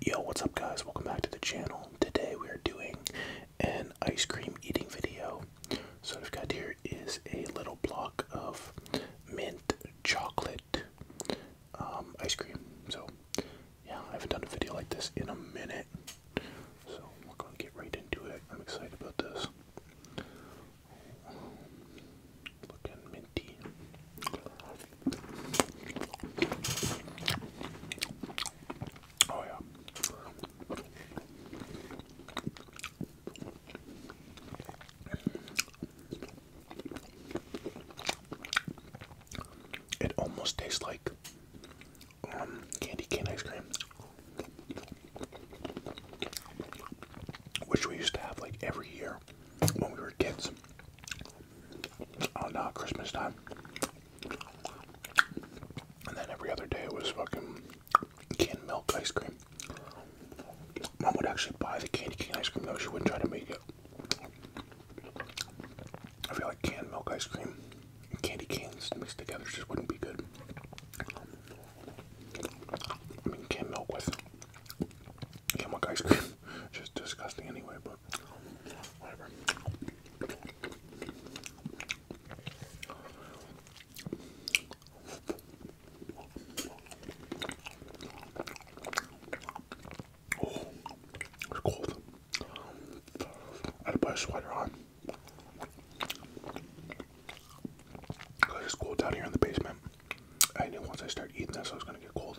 Yo, what's up guys? Welcome back to the channel. Today we are doing an ice cream eating video. So what I've got here is a little block of mint chocolate um, ice cream. So yeah, I haven't done a video like this in a minute. So we're gonna get right into it. I'm excited about this. Looking Oh yeah. It almost tastes like um, candy cane ice cream, which we used to have like every year when we were kids. Oh no! Christmas time. And then every other day it was fucking canned milk ice cream. Mom would actually buy the candy cane ice cream though, she wouldn't try to make it. I feel like canned milk ice cream and candy canes mixed together just wouldn't be good. I mean, canned milk with canned milk ice cream just disgusting anyway, but oh, it's cold. I had to put a sweater on. it's cold down here in the basement. I knew once I started eating this, I was gonna get cold.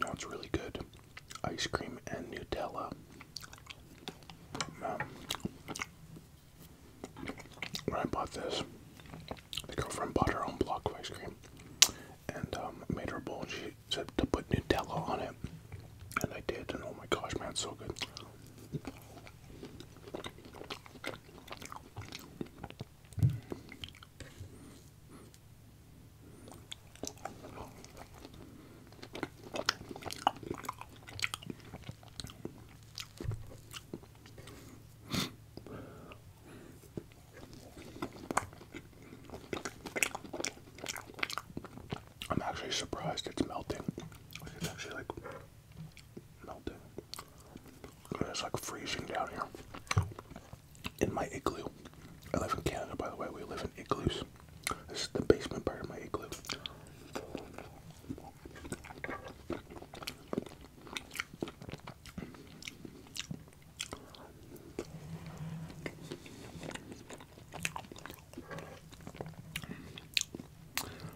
You it's really good. Ice cream and Nutella. Um, when I bought this, my girlfriend bought her own block of ice cream and um, made her bowl and she said to put Nutella on it. And I did, and oh my gosh, man, it's so good. I'm actually surprised it's melting. it's actually like melting. It's like freezing down here in my igloo. I live in Canada, by the way. We live in igloos. This is the basement part of my igloo.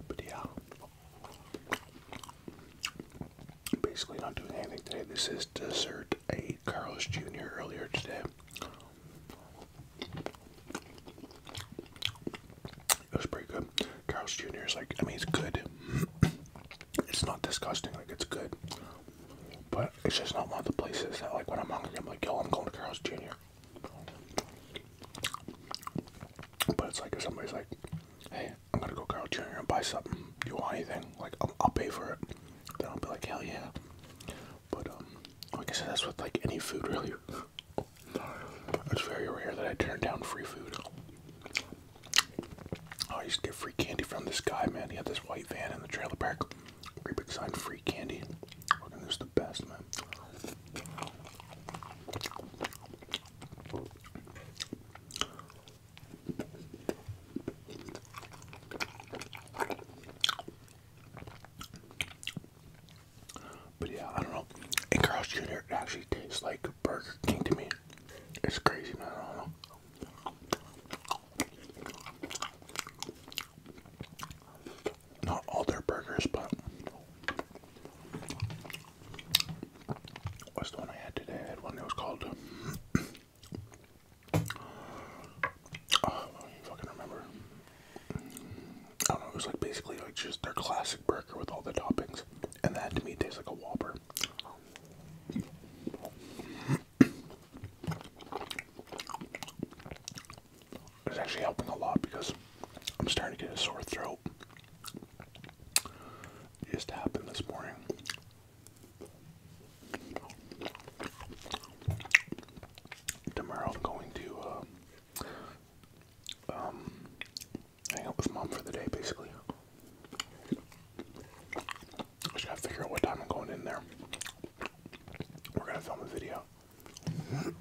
But yeah, basically not doing anything today. This is dessert. I ate Carlos Jr. earlier today. It was pretty good. Carl's Jr. is like, I mean, it's good. it's not disgusting, like, it's good. But it's just not one of the places that, like, when I'm hungry, I'm like, yo, I'm going to Carl's Jr. But it's like, if somebody's like, hey, I'm gonna go Carl Jr. and buy something. Do you want anything? Like, I'll, pay for it. Then I'll be like, hell yeah. But, um, like I said, that's with like any food, really. It's very rare that I turn down free food. Oh, I used to get free candy from this guy, man. He had this white van in the trailer park. Great big sign, free candy. Fucking, this is the best, man. But yeah, I don't know. And Carl's Jr. actually tastes like Burger King to me. It's crazy, man. I don't know. Not all their burgers, but What's the one I had today? I one that was called. oh, I don't fucking remember. I don't know. It was like basically like just their classic burger with all the toppings, and that to me tastes like a Whopper. It's actually helping a lot because I'm starting to get a sore throat just happened this morning. Tomorrow I'm going to uh, um, hang out with mom for the day, basically. I just gotta figure out what time I'm going in there. We're gonna film a video.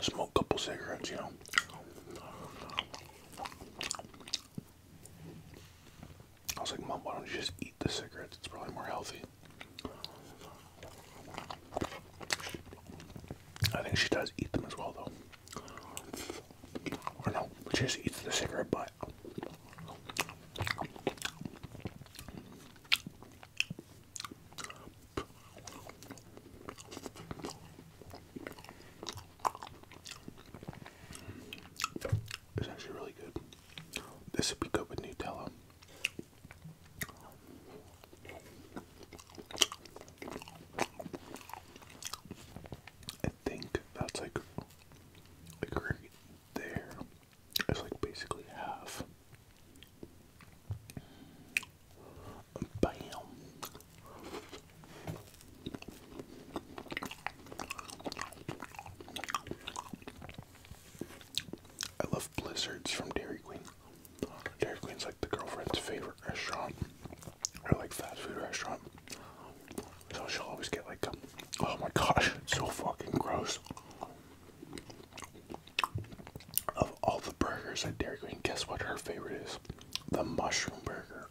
Smoke a couple cigarettes, you know. I was like, Mom, why don't you just eat the cigarettes? It's probably more healthy. I think she does eat them as well, though. Or no, she just eats the cigarette butt. It's actually really good. This would be good with Nutella. I think that's like like right there. It's like basically half. I love blizzards from Dairy Queen. Dairy Queen's like the girlfriend's favorite restaurant, or like fast food restaurant. So she'll always get like, oh my gosh, so fucking gross all the burgers at Dairy Queen, guess what her favorite is? The mushroom burger.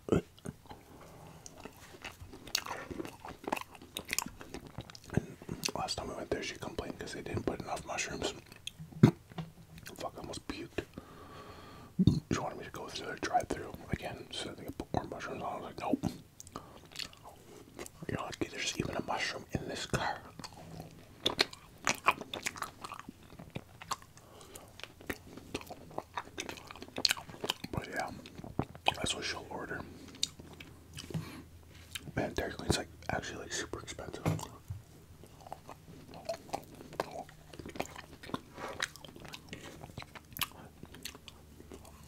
last time we went there, she complained because they didn't put enough mushrooms. Fuck, I almost puked. She wanted me to go through the drive-through again, so they could put more mushrooms on. I was like, nope. you lucky there's even a mushroom in this car. But yeah, that's what she'll order. Man, Dairy Queen's like actually like super expensive.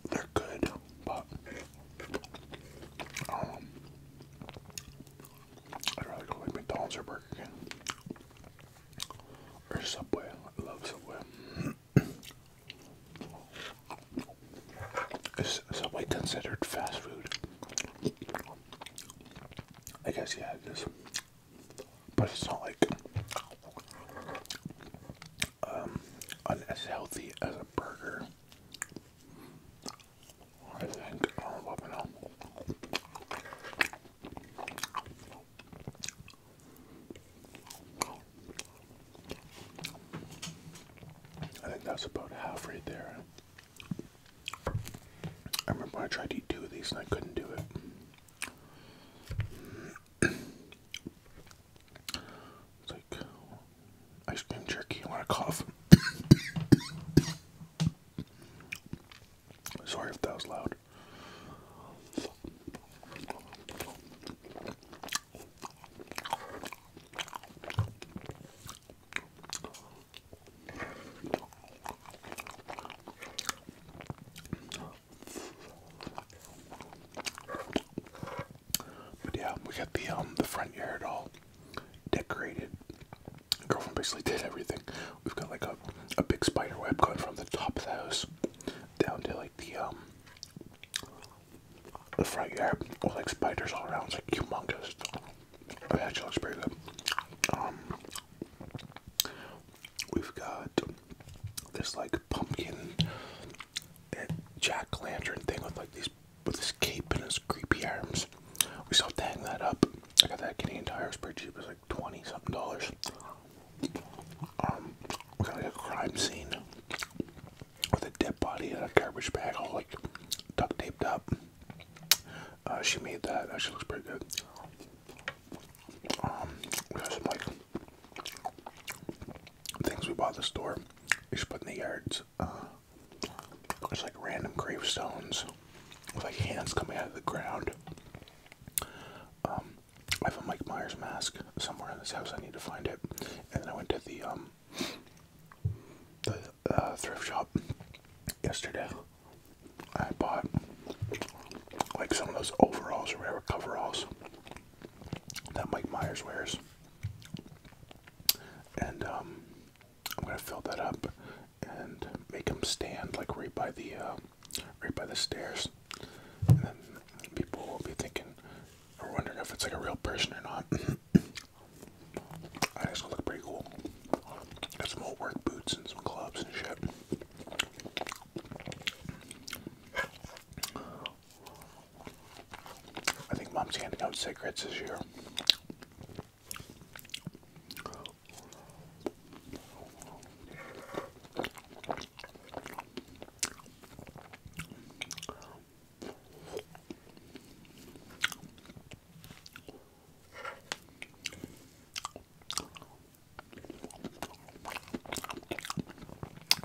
They're good, but um, I'd rather go like McDonald's or Burger King. Or Subway. I love Subway. Is Subway considered fast food? I guess, yeah, it is. But it's not like as um, healthy as a burger. I think. I don't I think that's about half right there. I remember when I tried to eat two of these and I couldn't do it. it's like ice cream jerky. I want to cough. Sorry if that was loud. But yeah, we got the um the front yard all decorated Girlfriend basically did everything. We've got like a, a big spider web going from the top of the house down to like the um, the front yard with like spiders all around. It's like humongous. It actually looks pretty good. we've got this like pumpkin jack-lantern thing with like these with his cape and his creepy arms. We still have that up. I got that Canadian tire, it's pretty 20 something dollars. Um, we got like a crime scene with a dead body in a garbage bag, all like duct taped up. Uh, she made that. That she looks pretty good. Um, we got some like things we bought at the store. We should put in the yards. Uh, like random gravestones with like hands coming out of the ground. Um, I have a Mike Myers mask somewhere in this house. I need to find it. And then I went to the um, the uh, thrift shop yesterday. I bought like some of those overalls or whatever coveralls that Mike Myers wears. And um, I'm gonna fill that up and make him stand like right by the uh, right by the stairs, and then people will be thinking or wondering if it's like a real person or not. I just look pretty cool. Got some old work boots and some gloves and shit. I think mom's handing out cigarettes this year.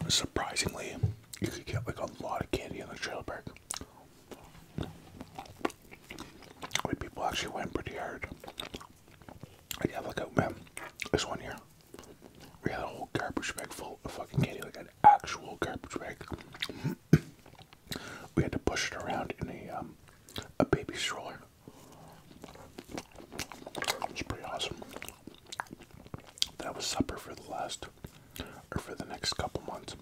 Surprisingly, you could get like a lot of candy in the trailer park. Wait, people actually went pretty hard. I got like out, man. There's one here, we had a whole garbage bag full of fucking candy, like an actual garbage bag. we had to push it around in a um, a baby stroller. It's pretty awesome. That was supper for the last, or for the next couple months.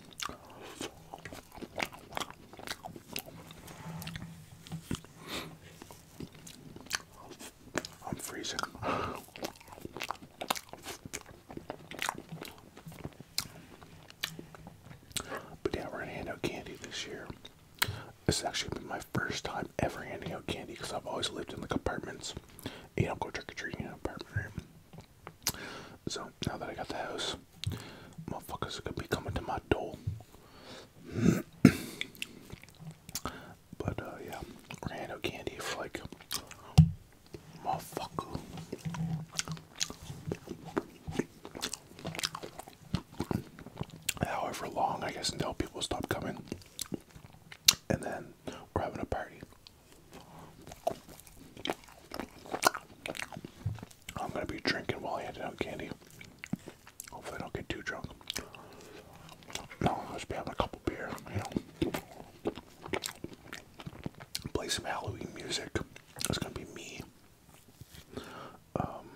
I'm freezing. But yeah, we're going out candy this year. This is actually been my first time ever handing out candy because I've always lived in the apartments. You don't go trick or treating in an apartment, right? So now that I got the house. Motherfuckers are gonna be coming to my door. but uh, yeah, random candy for like, motherfucker. However long, I guess, until people stop coming, and then we're having a party. I'm gonna be drinking while I hand out candy. Hopefully, I don't get too drunk. No, just be having a couple beer, you know. Play some Halloween music. It's gonna be me, um,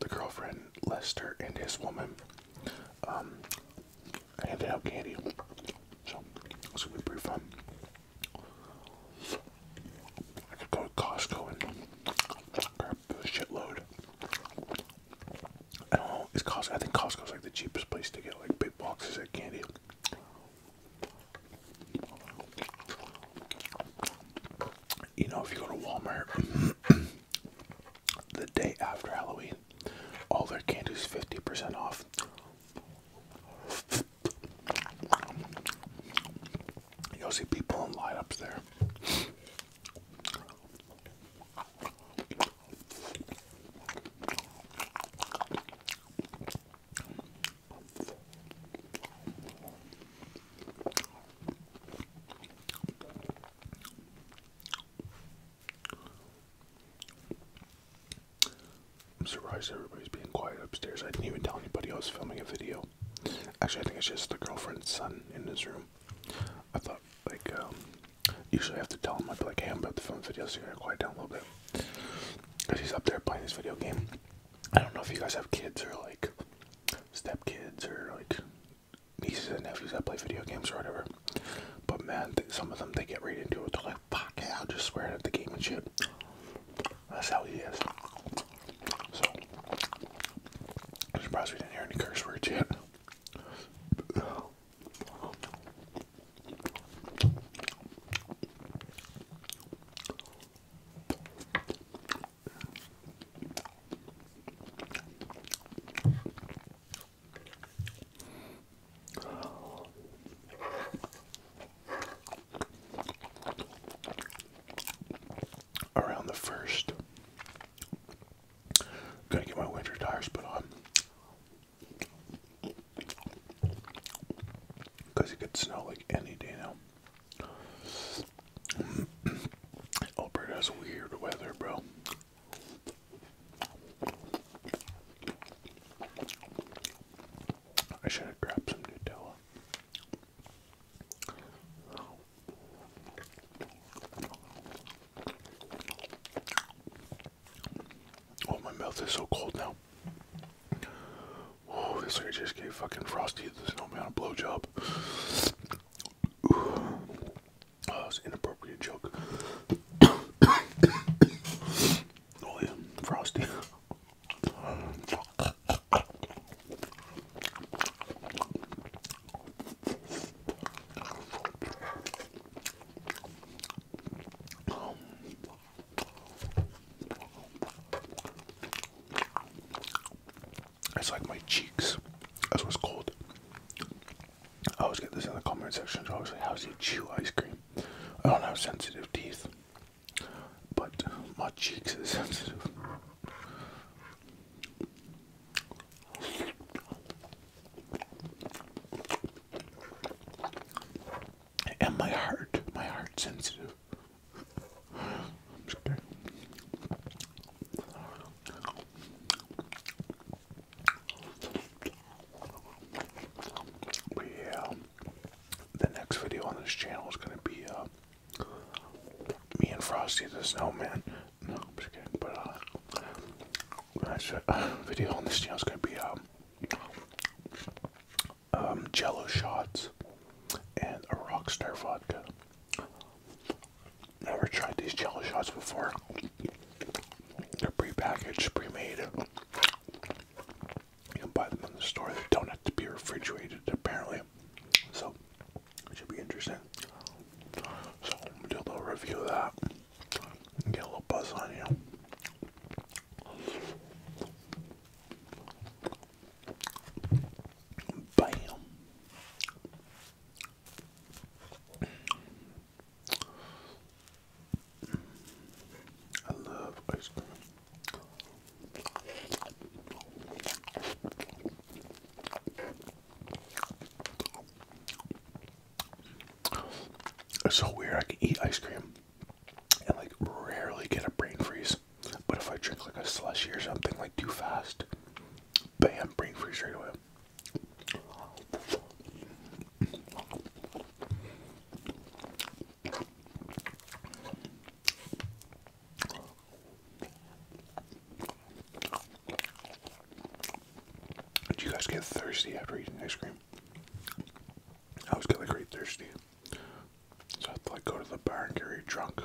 the girlfriend Lester and his woman. Um, handing out candy. So it's gonna be pretty fun. I could go to Costco and grab a shitload. I don't know. Costco? I think Costco's like the cheapest place to get like big boxes of candy. You know, if you go to Walmart the day after Halloween, all their candy's fifty percent off. You'll see people in lineups there. I'm surprised everybody's being quiet upstairs. I didn't even tell anybody I was filming a video. Actually, I think it's just the girlfriend's son in this room. I thought, like, um, usually I have to tell him, I'd be like, hey, I'm about to film a video, so you gotta quiet down a little bit. Because he's up there playing this video game. I don't know if you guys have kids or, like, step kids or, like, nieces and nephews that play video games or whatever. But man, some of them they get right into it. They're like, "Fuck yeah, I'll just swear at the game and shit." That's how he is. So, surprised we didn't hear any curse words yet around the first. Gonna get my winter tires put on because it could snow like any day now. Alberta has weird weather, bro. I should have grabbed some Nutella. Oh, my mouth is so cold now. Oh, this like just gave fucking Frosty the Snowman a blowjob. Oh, that was an inappropriate joke. oh yeah, Frosty. It's like my cheeks. That's what's cold. I always get this in the comment section. always like, "How's you chew ice cream?" I don't have sensitive teeth but my cheeks are sensitive. And my heart, my heart's sensitive. I'm scared. yeah, the next video on this channel is gonna be uh, me and Frosty the Snowman. No, But uh, uh, video on this channel is gonna be um, um Jello shots and a Rockstar vodka. Never tried these Jello shots before. They're pre-packaged, pre-made. You can buy them in the store. They don't have to be refrigerated, apparently. So, it should be interesting. So, do a little review of that. get a little buzz on you. Bam. I love ice cream. It's so weird. I can eat ice cream and like rarely get a brain freeze. But if I drink like a slushy or something like too fast, bam, brain freeze straight away. Do you guys get thirsty after eating ice cream? I always get like really thirsty. So I thought to like go to the bar and get really drunk.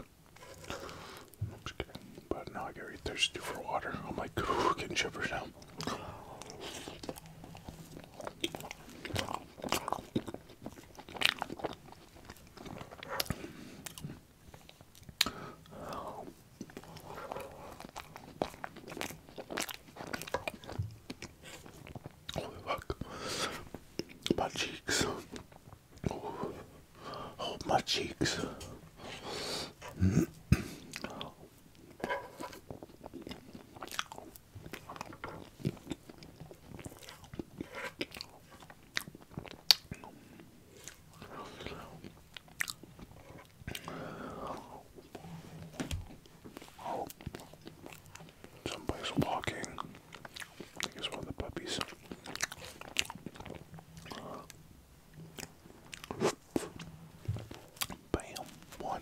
But now I get really thirsty for water. I'm like getting shivers now. My cheeks. Oh, my cheeks. Oh, somebody's walking. I think one of the puppies. Bam, one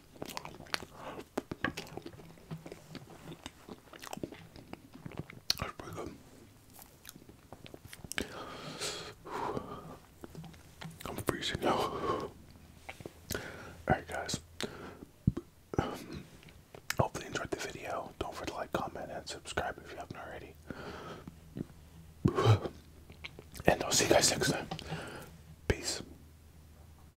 I'm freezing Alright, guys. hopefully, you enjoyed the video. Don't forget to like, comment, and subscribe if you haven't already. And I'll see you guys next time. Peace.